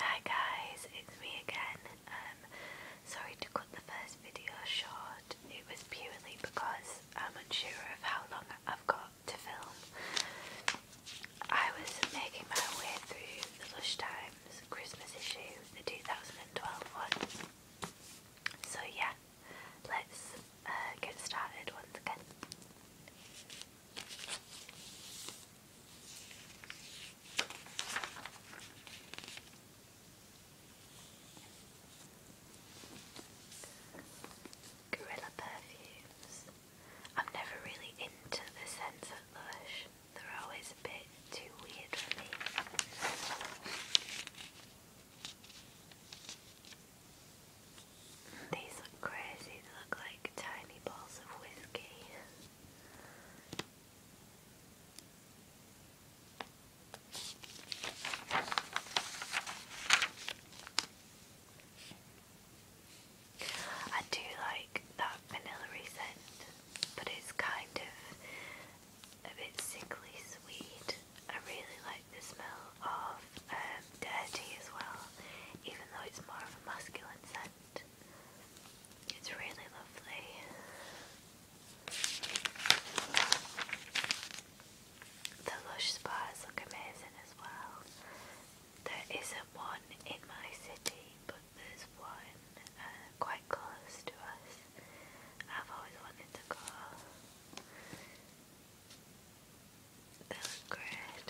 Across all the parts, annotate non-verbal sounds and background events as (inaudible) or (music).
Hi guys, it's me again. Um, sorry to cut the first video short. It was purely because I'm unsure of how long I've got to film. I was making my way through the Lush Times Christmas issue, the 2012 one. So yeah, let's uh, get started once again. Gorilla perfumes. I'm never really into the scents of Lush. They're always a bit too weird for me. These crazy. They look like tiny balls of whiskey. I do like that vanilla scent, but it's kind of a bit sickly sweet. I really like the smell of um, dirty as well, even though it's more of a masculine scent. It's really lovely. The lush spas look amazing as well. There isn't one in my city, but there's one uh, quite close to us. I've always wanted to go. They look great.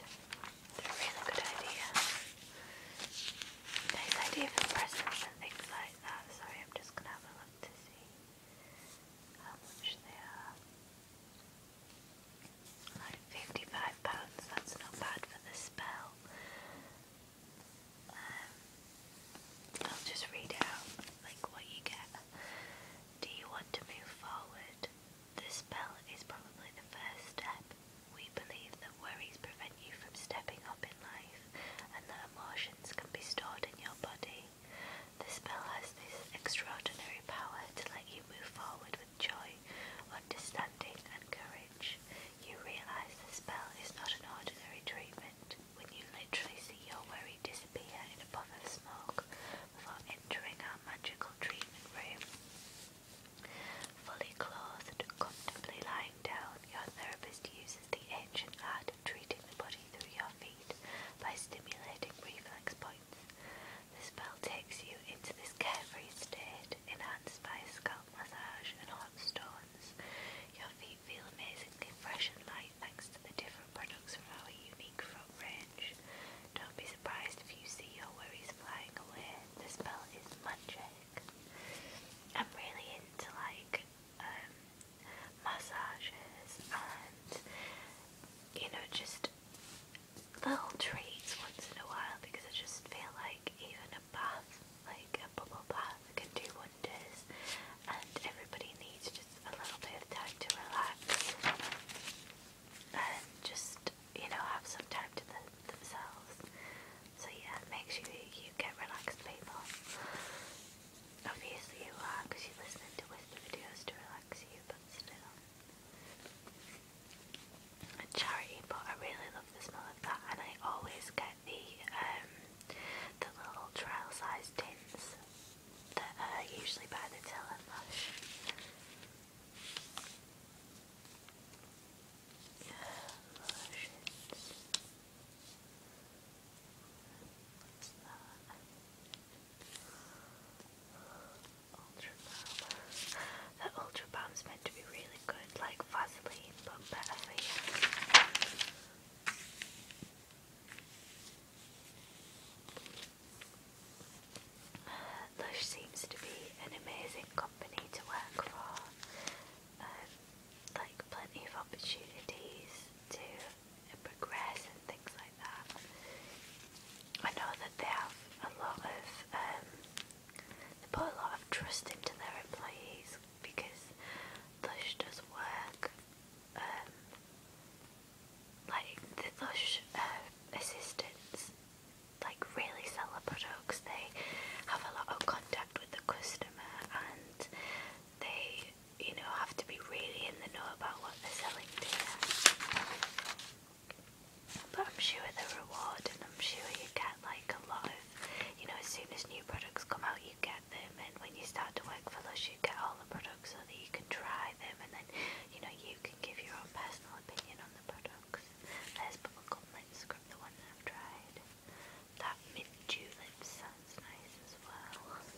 They're a really good idea. Nice idea for presents and things like that. Sorry, I'm just gonna have a look to see how much they are. Like fifty-five pounds. That's not bad for the spell. Um, I'll just read out like what you get. Do you want to move forward? The spell is probably the first step. We believe that worries prevent you from stepping up in life and that emotions can be stored in your body. The spell has this extraordinary power to let you move forward with joy, understanding, and courage. You realise the spell is not an ordinary treatment when you literally see your worry disappear in a puff of smoke before entering our magical treatment room. Fully clothed, comfortably lying down, your therapist uses the ancient art of treating the body through your feet by stimulating reflex points. The spell takes you into this carefree state, enhanced by scalp massage and hot stones. Your feet feel amazingly fresh and light thanks to the different products from our unique front range. Don't be surprised if you see Yori's flying away. The spell is magic. I'm really into like um, massages and you know just little treats once in a while because I just feel like even a bath, like a bubble bath, can do wonders. And everybody needs just a little bit time to relax and just you know have some time to them themselves. So yeah, make sure you get relaxed, people. Obviously you are because you're listening to whisper videos to relax you, but still. A charity, but I really love the smell of that, and I always get the um the little trial size tins that are usually by the Till and Lush that? Ultra Balm. That Balm's meant to be really good, like Vaseline, but better uh, Lush seems to be an amazing company to work for. Um, like plenty of opportunities to progress and things like that. I know that they have a lot of, um, they put a lot of trust into their employees because Lush does work, um, like the Lush uh, assistants like really sell the products. They have a lot of contact with the customer and they, you know, have to be really in the know about what they're selling to you. But I'm sure they're rewarded and I'm sure you get like a lot of, you know, as soon as new products come out, you get them and when you start to work for Lush, you get all the products so that you can try them and then, you know, you can give your own personal opinion on the product. There's bubblegum lips the one that I've tried. That mint dew sounds nice as well. Um,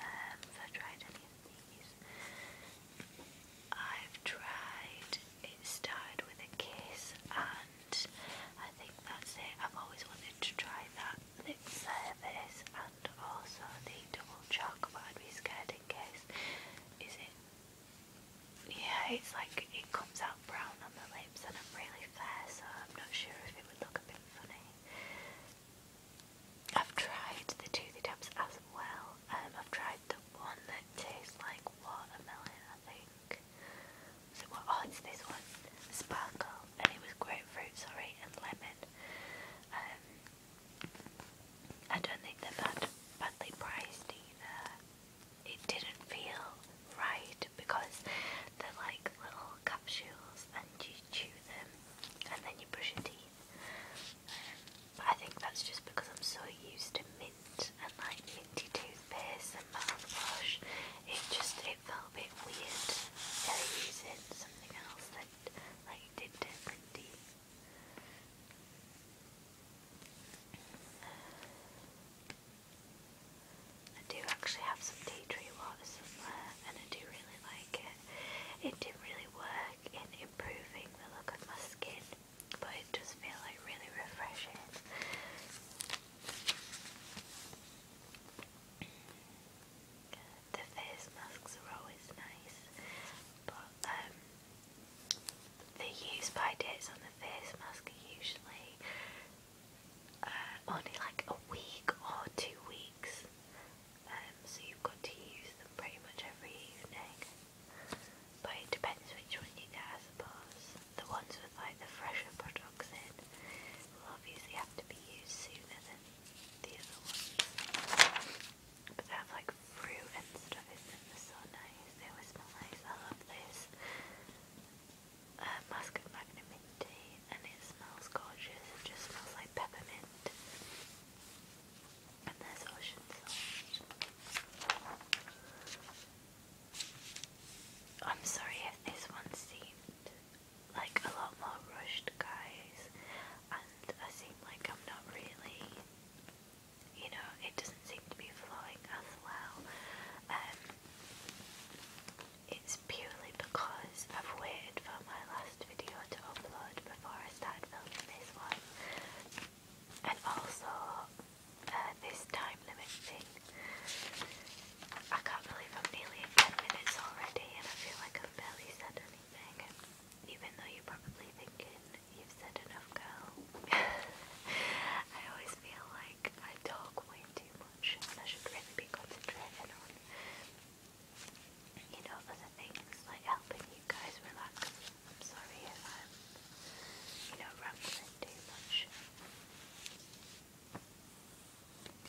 have I tried any of these? I've tried It Started With A Kiss and I think that's it. I've always wanted to try that lip service and also the double chalk but I'd be scared in case. Is it yeah, it's like it comes out brown on the lips, and I'm really fair, so I'm not sure if it would look a bit funny. I've tried the toothy taps as well. Um, I've tried the one that tastes like watermelon, I think. So what? Oh, it's this one, sparkle, and it was grapefruit, sorry, and lemon. Um, I don't think they're bad, badly priced either. It didn't feel right because they're like little capsules and you chew them and then you brush your teeth. but um, I think that's just because I'm so used to mint and like minty toothpaste and mouthwash. It just it felt a bit weird using something else that like did different teeth. I do actually have some tea tree water somewhere and I do really like it. It didn't really work in improving the look of my skin but it does feel like really refreshing. The face masks are always nice but um, the use by dates on the face mask are usually uh, only like a week or two weeks, um, so you've got to use them pretty much every evening. But it depends which one you get, I suppose. The ones with like the fresher products in will obviously have to be used sooner than the other ones. But they have like fruit and stuff in them, so nice, they always smell nice. I love this uh, Mask of and it smells gorgeous, it just smells like peppermint. And there's ocean salt. I'm sorry if this one seemed like a lot more rushed, guys, and I seem like I'm not really you know, it doesn't seem to be flowing as well. Um, it's purely because I've waited for my last video to upload before I start filming this one. And also, uh, this time limit thing. I can't believe I'm nearly 10 minutes already and I feel like I've barely even though you're probably thinking you've said enough, girl. (laughs) I always feel like I talk way too much, I should really be concentrating on, you know, other things like helping you guys relax. I'm sorry if i you know, rambling too much.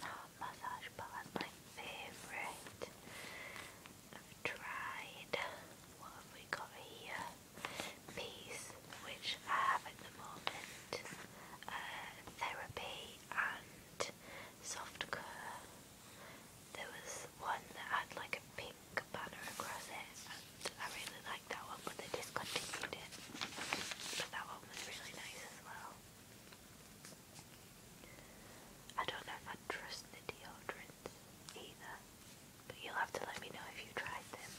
Oh, massage bar, my favourite. I've tried. What have we got here? Peace, which I have at the moment. Uh, therapy and soft colour. There was one that had like a pink banner across it, and I really liked that one, but they discontinued it. But that one was really nice as well. I don't know if I trust the deodorants either but you'll have to let me know if you tried them.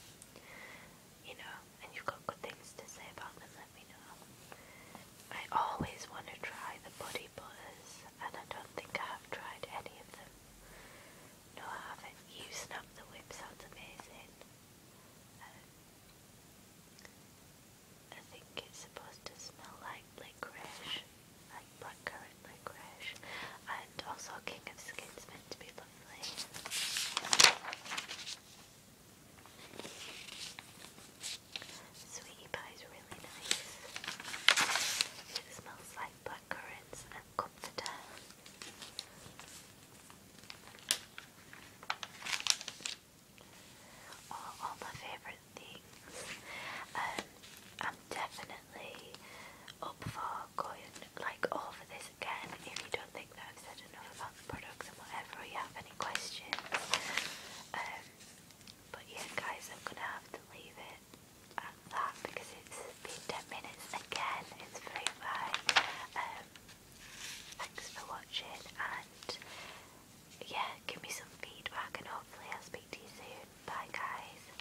You know, and you've got good things to say about them, let me know. I always want to try the body butters, and I don't think I have tried any of them. No, I haven't. You snap the whip sounds amazing. Um, I think it's supposed to smell like licorice like blackcurrant licorice, and also King of Skins meant to be lovely. Sweetie pie is really nice. It smells like blackcurrants and comforter. all my favourite things. Um, I'm definitely up for going like over this again if you don't think that I've said enough about the products and whatever you have any questions. Um, but yeah guys, I'm gonna have to leave it at that because it's been 10 minutes again, it's very fine. Um, thanks for watching and yeah, give me some feedback and hopefully I'll speak to you soon. Bye guys.